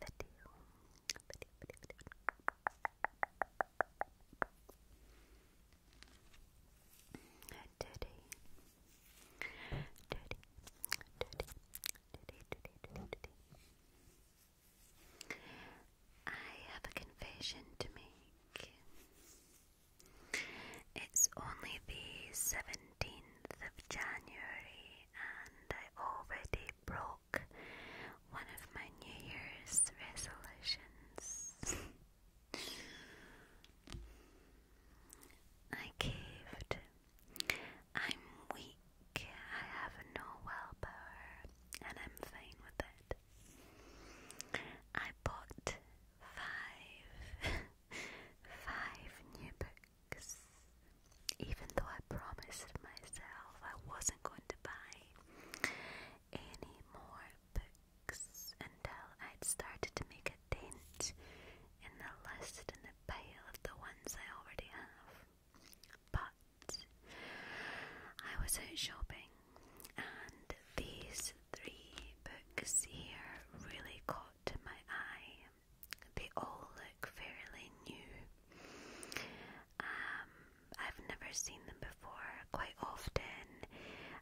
video. Video, video, video. Today, today, today, today, today, today, today. I have a confession to make. It's only the seven 17th of January, and I already broke one of my New Year's resolutions. I caved. I'm weak, I have no willpower, and I'm fine with it. I bought five, five new books. Even though I promised myself I wasn't going to buy any more books until I'd started to make a dent in the list and the pile of the ones I already have. But I was out shopping and these three books here really caught my eye. They all look fairly new. Um, I've never seen them before. Quite often,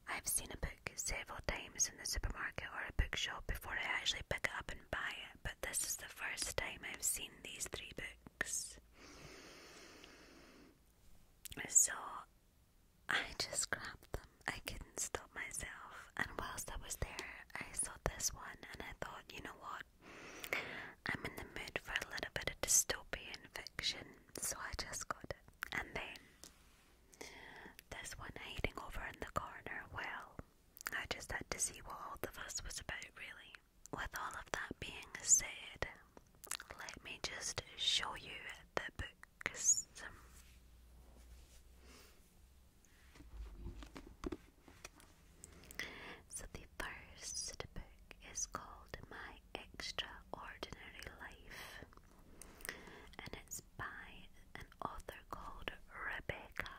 I've seen a book several times in the supermarket or a bookshop before I actually pick it up and buy it, but this is the first time I've seen these three books. So I just grabbed them. I couldn't stop myself, and whilst I was there, I saw this one, and I thought, you know what? I'm in the mood for a little bit of dystopian fiction, so I just got it. And then this one hiding over in the corner, well, I just had to see what all the fuss was about, really. With all of that being said, let me just show you the books. So the first book is called My Extraordinary Life and it's by an author called Rebecca.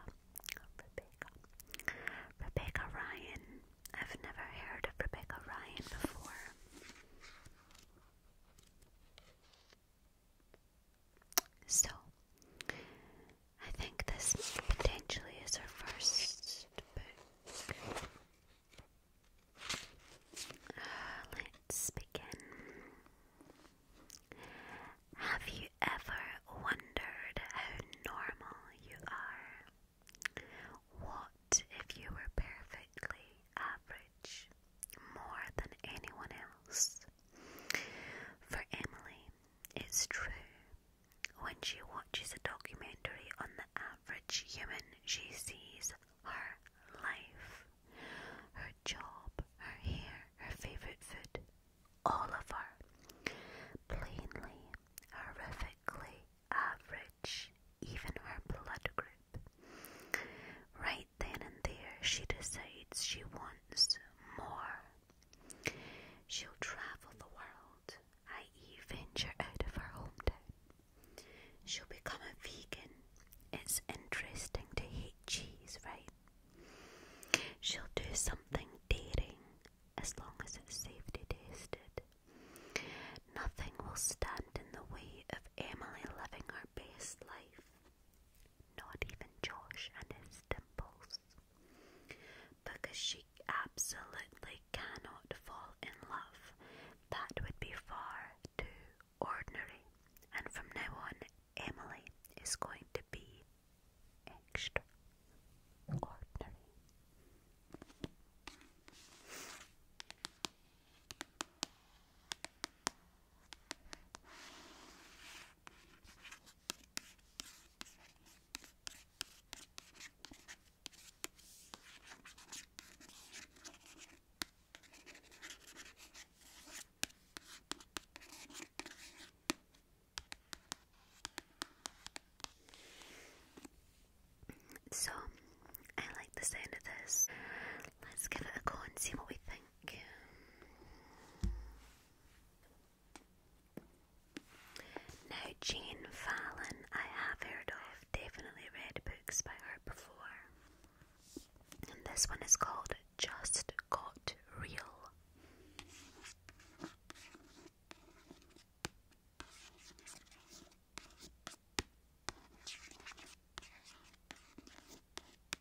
Rebecca. Rebecca Ryan. I've never heard of Rebecca Ryan before. So, I think this potentially is our first uh, let's begin. Have you ever wondered how normal you are? What if you were perfectly average, more than anyone else? For Emily, it's true. When she watches a documentary on the average human, she sees her life, her job, her hair, her favourite food, all of her. Plainly, horrifically average, even her blood group. Right then and there, she decides she wants more. She'll travel the world, i.e., venture out of her hometown. She'll become a vegan. It's interesting to hate cheese, right? She'll do something daring as long as it's safety tested. Nothing will stand in the way of Emily living her best life. Not even Josh and his dimples. Because she absolutely cannot fall in love. That would be far too ordinary. And from now on, Emily is going to be extra so, I like the sound of this. Let's give it a go and see what we think. Now, Jean I have heard of, definitely read books by her before. And this one is called Just Got Real.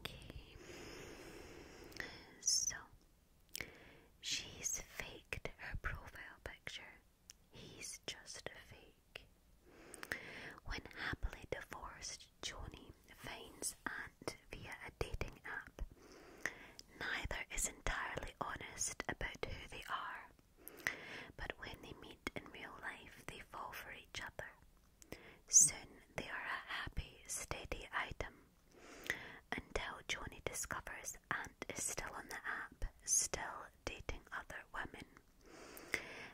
Okay. So she's faked her profile picture. He's just a fake. When happily divorced, Joni finds Ant via a dating app. Neither is entirely honest about who they are. But when they meet in real life, they fall for each other. Soon they are a happy, steady item until Johnny discovers Aunt is still on the app, still dating other women.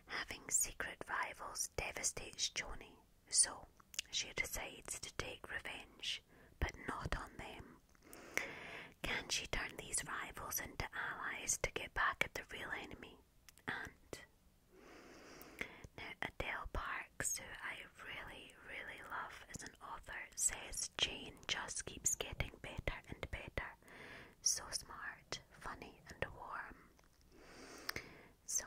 Having secret rivals devastates Johnny, so she decides to take revenge, but not on them. Can she turn these rivals into allies to get back at the real enemy? And now Adele Parks, who I really, really love as an author, says Jane just keeps getting better and better. So smart, funny, and warm. So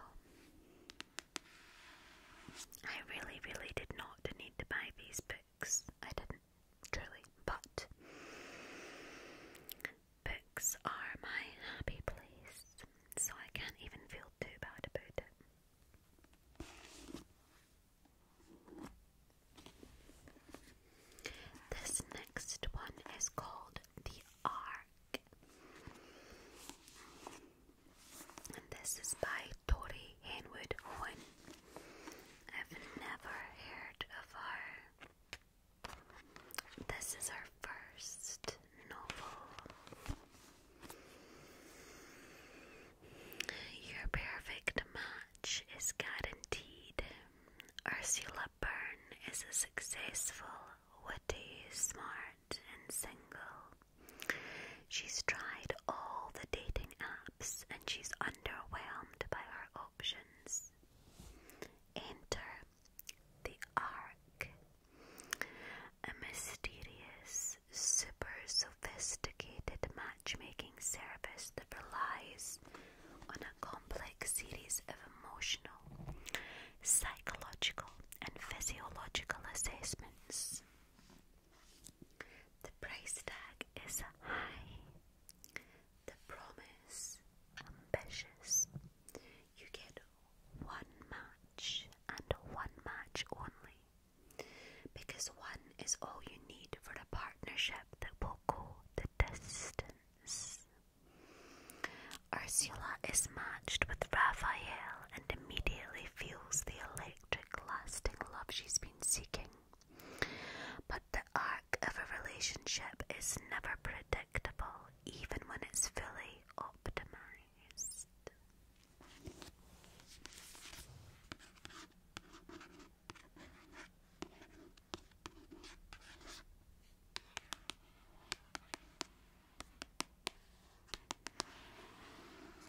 I really, really did not need to buy these books. I didn't, truly, but books are my happy place, so I can't even feel too bad about it. This next one is called The Ark, and this is by Tori Henwood Owen. I've never heard of her. This is her first novel. Your perfect match is guaranteed. Ursula Byrne is a successful, witty, smart, and single. She's tried all the dating apps and she's underwhelmed by her options. Enter the Ark, a mysterious, super sophisticated matchmaking service that relies on a complex series of emotional, psychological, and physiological assessments. The price tag is high. The promise ambitious. You get one match and one match only. Because one is all you need for a partnership that will go the distance. Ursula is matched with Raphael and immediately feels the electric, lasting love she's been seeking. But the arc of a relationship is never predictable, even when it's fully optimized.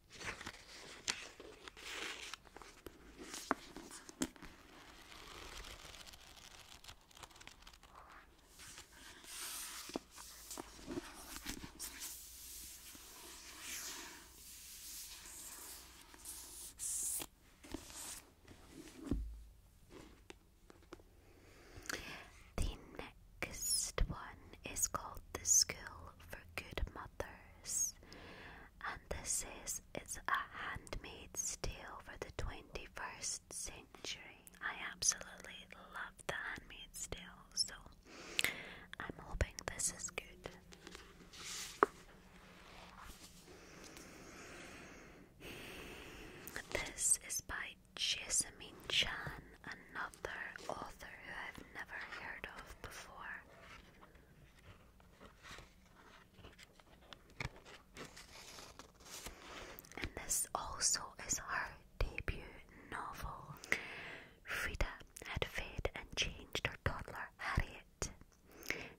The next one is called The School for Good Mothers, and this is it's a handmade steel for the 21st century. I absolutely love the handmade steel, so I'm hoping this is good. This is by Jessamine Chan, another author who I've never heard of before. And this also is her debut novel. Frida had fed and changed her toddler Harriet.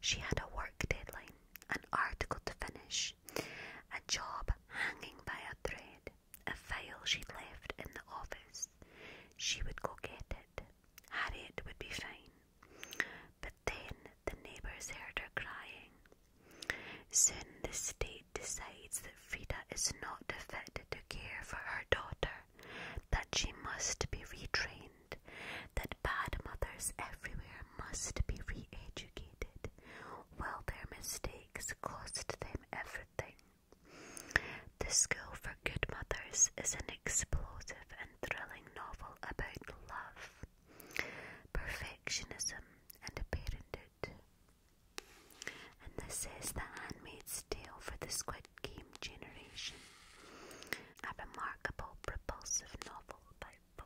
She had a work deadline, an article to finish, a job hanging by a thread, a file she'd left in the office. She would go get it. Harriet would be fine. But then the neighbours heard her crying. Soon the state decides that Frida is not fit to care for her daughter, that she must be retrained, that bad mothers everywhere must be re educated, while their mistakes cost them everything. The School for Good Mothers is an explosive and thrilling novel about love, perfectionism, and a parenthood. And this is The handmade Tale for the Squid Game generation, a remarkable, propulsive novel by Vogue.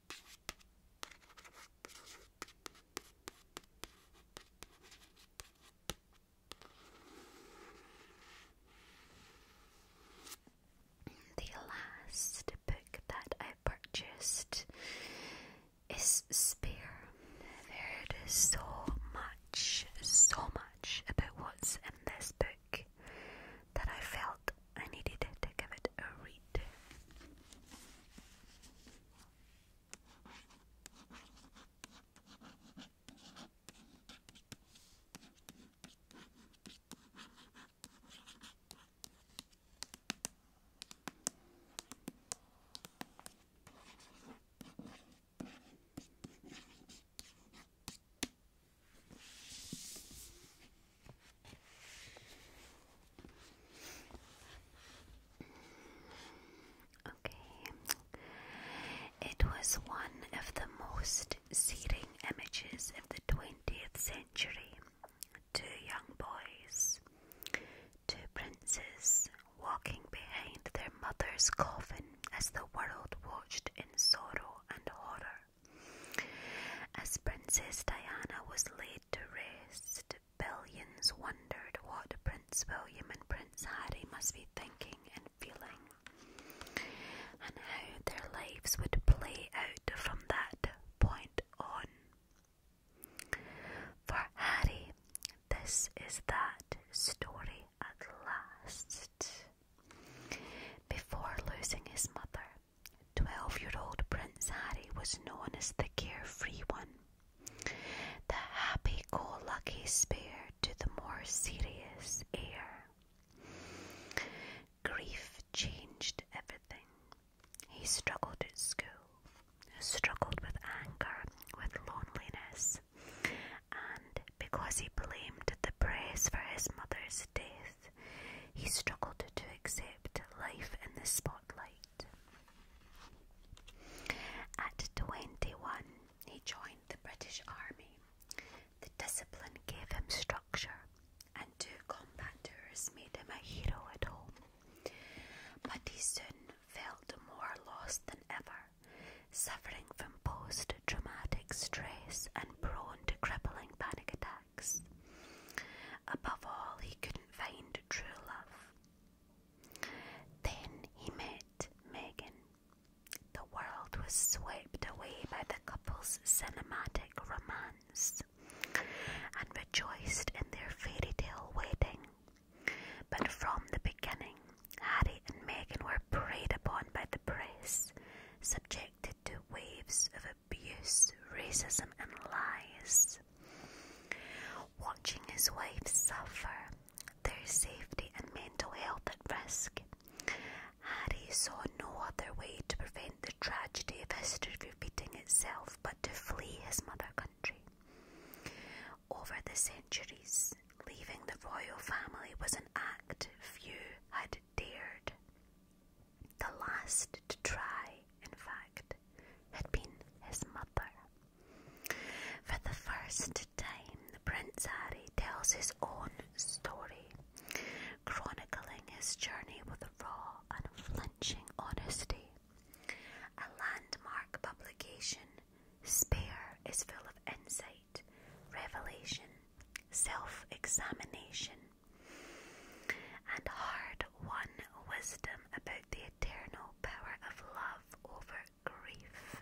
The last book that I purchased is Spear. There is so much, so much about what's in this book that I felt I needed to give it a read. Okay. It was one of the most searing images of the 20th century. Two young boys, two princes walking behind their mother's coffin as the world watched in sorrow and horror. As Princess Diana was laid to rest, billions wondered what Prince William and Prince Harry must be thinking and feeling, and how their lives would play out from that point on. For Harry, this is that story at last. Before losing his mother, Twelve year old Prince Harry was known as the carefree one, the happy go lucky spare to the more serious heir. Grief changed everything. He struggled at school, struggled with anger, with loneliness, and because he blamed the prince for his mother's death, he struggled to accept life in the spotlight. At 21, he joined the British Army. The discipline gave him structure, and two combat tours made him a hero at home. But he soon felt more lost than ever, suffering from post traumatic stress and prone to crippling panic attacks. Above all, he couldn't find true love. Then he met Megan. The world was swept away by the couple's cinematic romance and rejoiced in their fairy tale wedding. But from the beginning, Harry and Megan were preyed upon by the press, subjected to waves of abuse, racism, and lies. Watching his wife suffer, their safety and mental health at risk, Harry saw no other way to prevent the tragedy of history repeating itself but to flee his mother country. Over the centuries, leaving the royal family was an act few had dared. The last to try, in fact, had been his mother. For the first time, Prince Harry tells his own story, chronicling his journey with raw, unflinching honesty. A landmark publication, Spare is full of insight, revelation, self examination, and hard won wisdom about the eternal power of love over grief.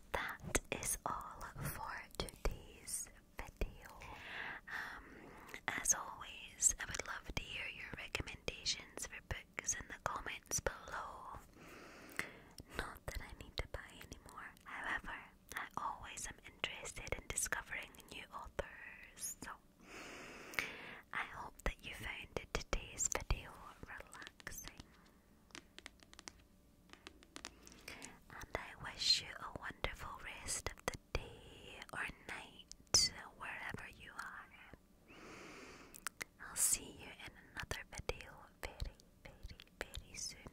that is all for today's video. Um, as always, I would love to hear your recommendations for books in the comments below. Not that I need to buy anymore, however, I always am interested in discovering new authors. So, I hope that you found today's video relaxing and I wish you a wonderful rest of the day or night, wherever you are. I'll see you in another video very, very, very soon.